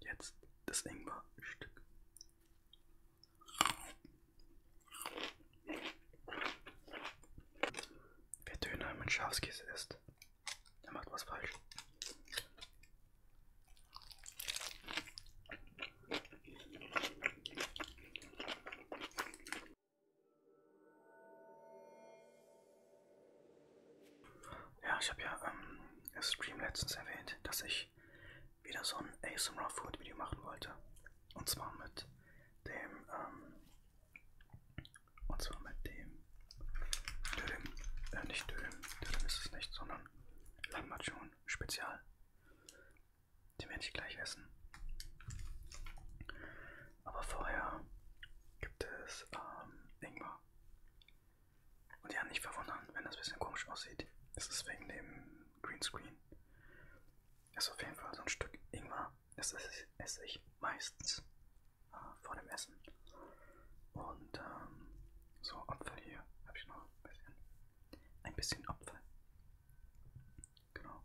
Jetzt das Ingwerstück. Wer Döner mit Schafskäse isst, der macht was falsch. Ja, ich habe ja ähm, im Stream letztens erwähnt, dass ich wieder so ein ASMR Food Video machen wollte. Und zwar mit dem, ähm, und zwar mit dem Dödem, äh, nicht Dödem, Dödem ist es nicht, sondern Lambachun Spezial. Den werde ich gleich essen. Aber vorher gibt es ähm, Ingwer. Und ja, nicht verwundern, wenn das ein bisschen komisch aussieht. Es ist wegen dem Greenscreen. Ist auf jeden Fall so ein Stück Ingwer. Das esse ich meistens äh, vor dem Essen. Und ähm, so Apfel hier habe ich noch ein bisschen. Ein bisschen Apfel. Genau.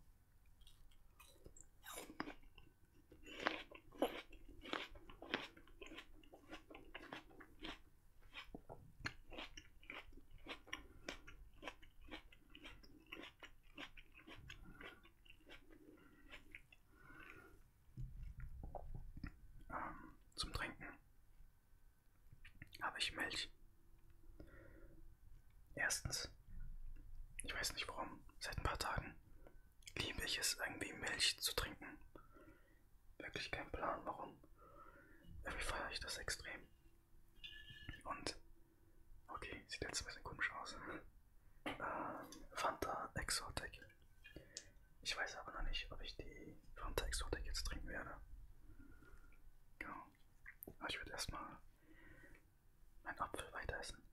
Ähm, zum Trinken habe ich Milch. Erstens, ich weiß nicht warum, seit ein paar Tagen liebe ich es irgendwie Milch zu trinken wirklich keinen Plan, warum. Irgendwie feiere ich das extrem. Und, okay, sieht jetzt ein bisschen komisch aus. Ähm, Fanta Exotic. Ich weiß aber noch nicht, ob ich die Fanta Exotic jetzt trinken werde. Genau. Aber ich werde erstmal meinen Apfel weiter essen.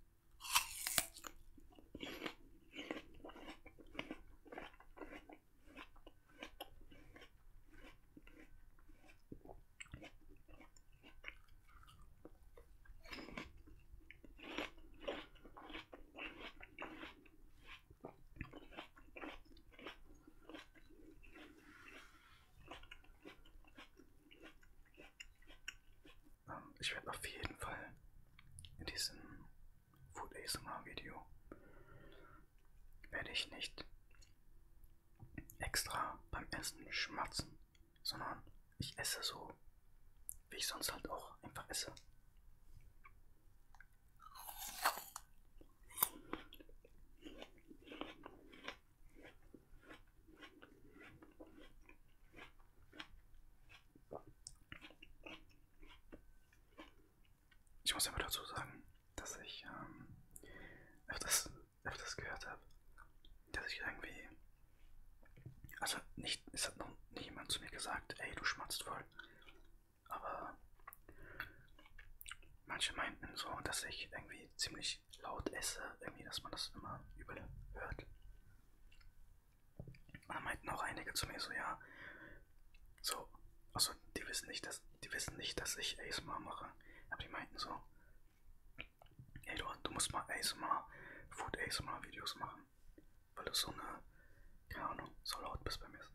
Ich werde auf jeden Fall in diesem Food ASMR Video werde ich nicht extra beim Essen schmatzen, sondern ich esse so, wie ich sonst halt auch einfach esse. Ich muss aber dazu sagen, dass ich ähm, öfters, öfters gehört habe, dass ich irgendwie. Also nicht, es hat noch niemand zu mir gesagt, ey, du schmatzt voll. Aber manche meinten so, dass ich irgendwie ziemlich laut esse, irgendwie, dass man das immer übel hört. Und dann meinten auch einige zu mir so, ja, so, also die wissen nicht, dass, die wissen nicht, dass ich ASMR mache. Aber die meinten so, ey du, du musst mal ASMR, Food ASMR Videos machen. Weil du so eine, keine Ahnung, so laut bist beim Essen.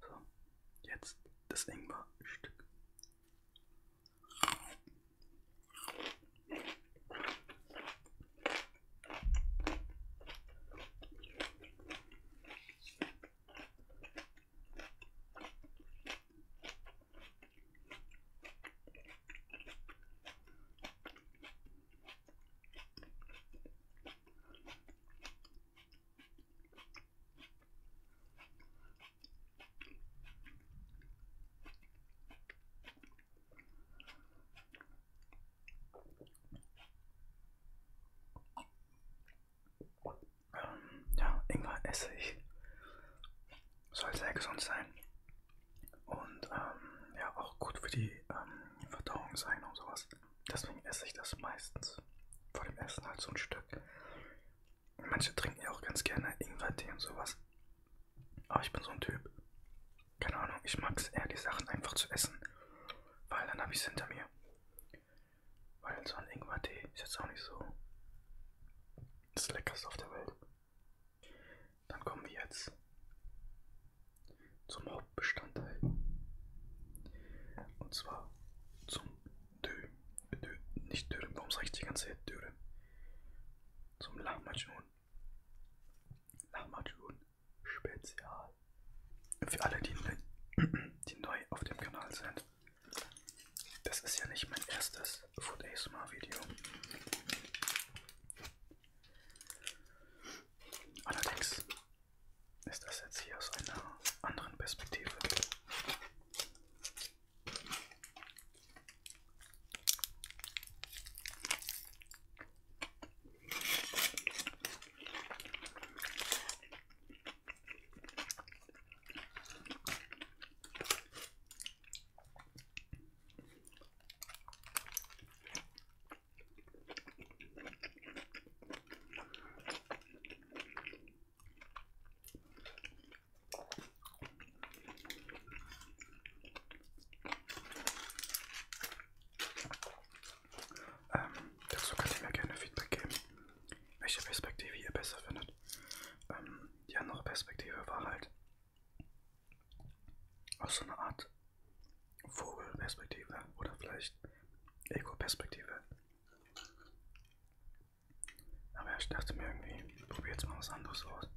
So, jetzt das Ding war ein Stück. Ja, Ingwer esse ich. Soll sehr gesund sein. Und ähm, ja, auch gut für die ähm, Verdauung sein und sowas. Deswegen esse ich das meistens. Vor dem Essen halt so ein Stück. Manche trinken ja auch ganz gerne Ingwertee und sowas. Aber ich bin so ein Typ. Keine Ahnung, ich mag es eher, die Sachen einfach zu essen. Weil dann habe ich es hinter mir. Weil so ein Ingwertee ist jetzt auch nicht so das Leckerste auf der Welt. Dann kommen wir jetzt zum Hauptbestandteil. Und zwar zum Dö. Dö. Nicht Dürren. Warum sage ich die ganze Zeit Dürren? Zum Lahmacun. Lahmacun Spezial. Für alle, die, ne die neu auf dem Kanal sind. Das ist ja nicht mein erstes Food ASMR Video. Allerdings ist das jetzt hier aus einer anderen Perspektive? Ähm, dazu könnt ihr mir gerne Feedback geben, welche Perspektive ihr besser findet. Ähm, die andere Perspektive war halt aus so einer Art Vogelperspektive oder vielleicht Ego-Perspektive. Aber ich dachte mir irgendwie, ich probiere jetzt mal was anderes aus.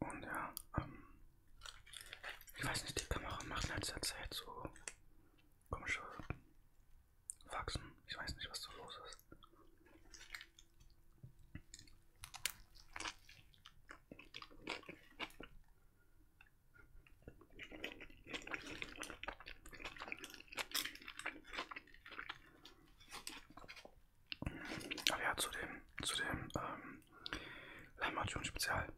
Und ja, ähm, ich weiß nicht, die Kamera macht in letzter Zeit so komische Faxen. Ich weiß nicht, was so los ist. Aber ja, zu dem, zu dem ähm, Lamation Spezial.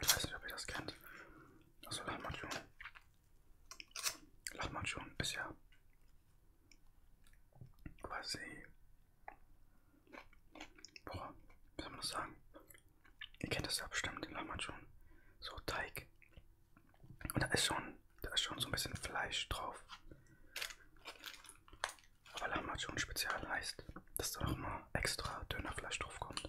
Ich weiß nicht, ob ihr das kennt. Also Lahmacun. Lahmacun ist ja quasi Boah, wie soll man das sagen? Ihr kennt das ja bestimmt, den Lahmann schon. So Teig. Und da ist schon, da ist schon so ein bisschen Fleisch drauf. Aber Lahmann schon spezial heißt, dass da nochmal extra dünner Fleisch drauf kommt.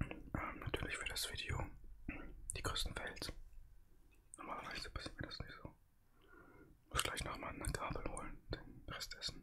ähm, natürlich für das Video die größten Fails. Normalerweise passiert mir das nicht so. Muss gleich nochmal eine Gabel holen, den Rest essen.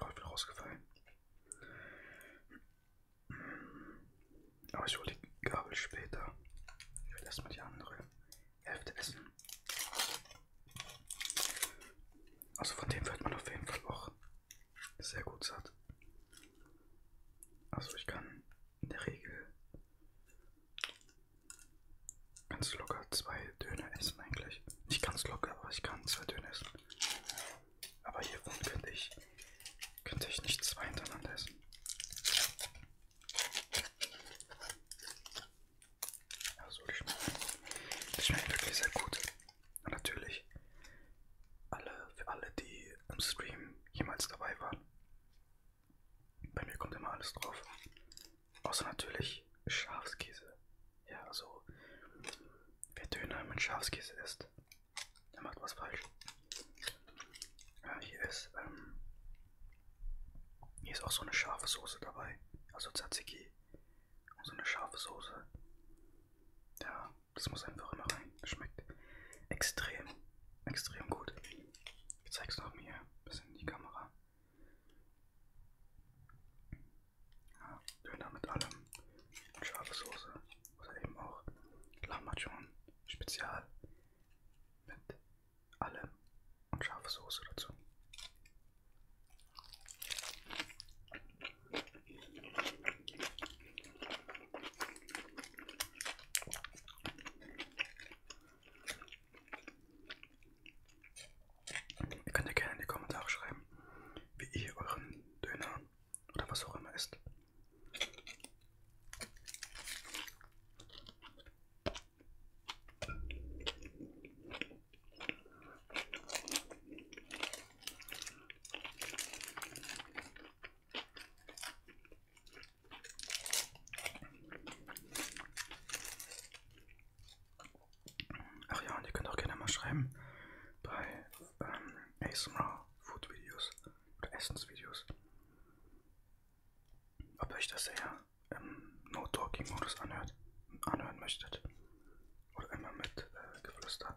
Oh, ich bin rausgefallen. Aber ich hole die Gabel später. Ich will erstmal die andere Hälfte essen. Also von dem wird man auf jeden Fall auch sehr gut satt. Also ich kann in der Regel ganz locker zwei Döner essen eigentlich. Nicht ganz locker, aber ich kann zwei Döner essen. Aber hiervon könnte ich, könnte ich nicht zwei hintereinander essen. Also die schmecken, die schmecken wirklich sehr gut. Und natürlich alle, für alle, die im Stream jemals dabei waren. Bei mir kommt immer alles drauf. Außer natürlich Schafskäse. Ja, also, wer Döner mit Schafskäse isst, der macht was falsch. Ja, hier ist, ähm, hier ist auch so eine scharfe Soße dabei, also Tzatziki und so eine scharfe Soße. Ja, das muss einfach immer rein. Das schmeckt extrem, extrem gut. Ich zeig's noch mir ein bisschen in die Kamera. Ja, Döner mit allem. Scharfe Soße. Oder eben auch Lahmacun Spezial. Mit allem und scharfe Soße dazu. Ihr könnt ja gerne in die Kommentare schreiben, wie ihr euren Döner oder was auch immer isst. Ach ja, und ihr könnt auch gerne mal schreiben bei ähm, ASMR Food Videos oder Essensvideos, ob euch das eher im No-Talking-Modus anhört, anhören möchtet oder immer mit äh, Geflüster.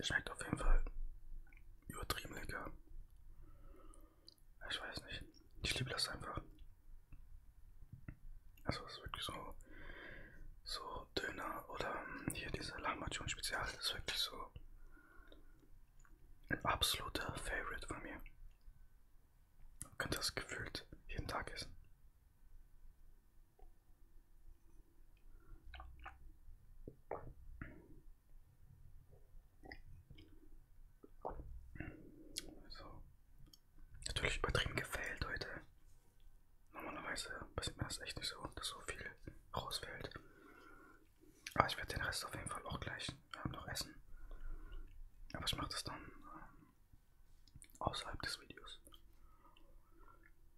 Schmeckt auf jeden Fall übertrieben lecker. Ich weiß nicht. Ich liebe das einfach. Also es ist wirklich so, so Döner oder hier diese Lahmacun Spezial, das ist wirklich so ein absoluter Favorite von mir. Ich könnte das gefühlt jeden Tag essen. So. Natürlich übertrieben gefällt heute. Normalerweise passiert mir das echt nicht so, dass so viel rausfällt. Aber ah, ich werde den Rest auf jeden Fall auch gleich äh, noch essen. Aber ich mache das dann äh, außerhalb des Videos.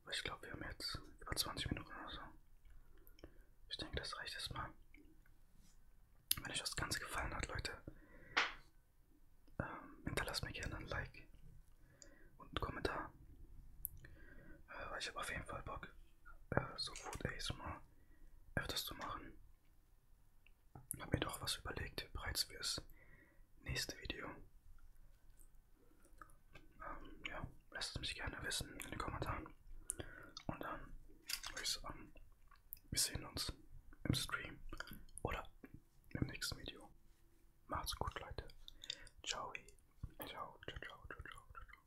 Weil ich glaube, wir haben jetzt über 20 Minuten oder so. Ich denke, das reicht erstmal. Wenn euch das Ganze gefallen hat, Leute, ähm, hinterlasst mir gerne ein Like und einen Kommentar. Äh, weil ich habe auf jeden Fall Bock, äh, so Food ASMR öfters zu machen. Ich habe mir doch was überlegt, bereits fürs nächste Video. Ähm, ja, lasst es mich gerne wissen in den Kommentaren. Und dann würde ich sagen, wir sehen uns im Stream oder im nächsten Video. Macht's gut, Leute. Ciao. Ciao, ciao, ciao, ciao, ciao, ciao.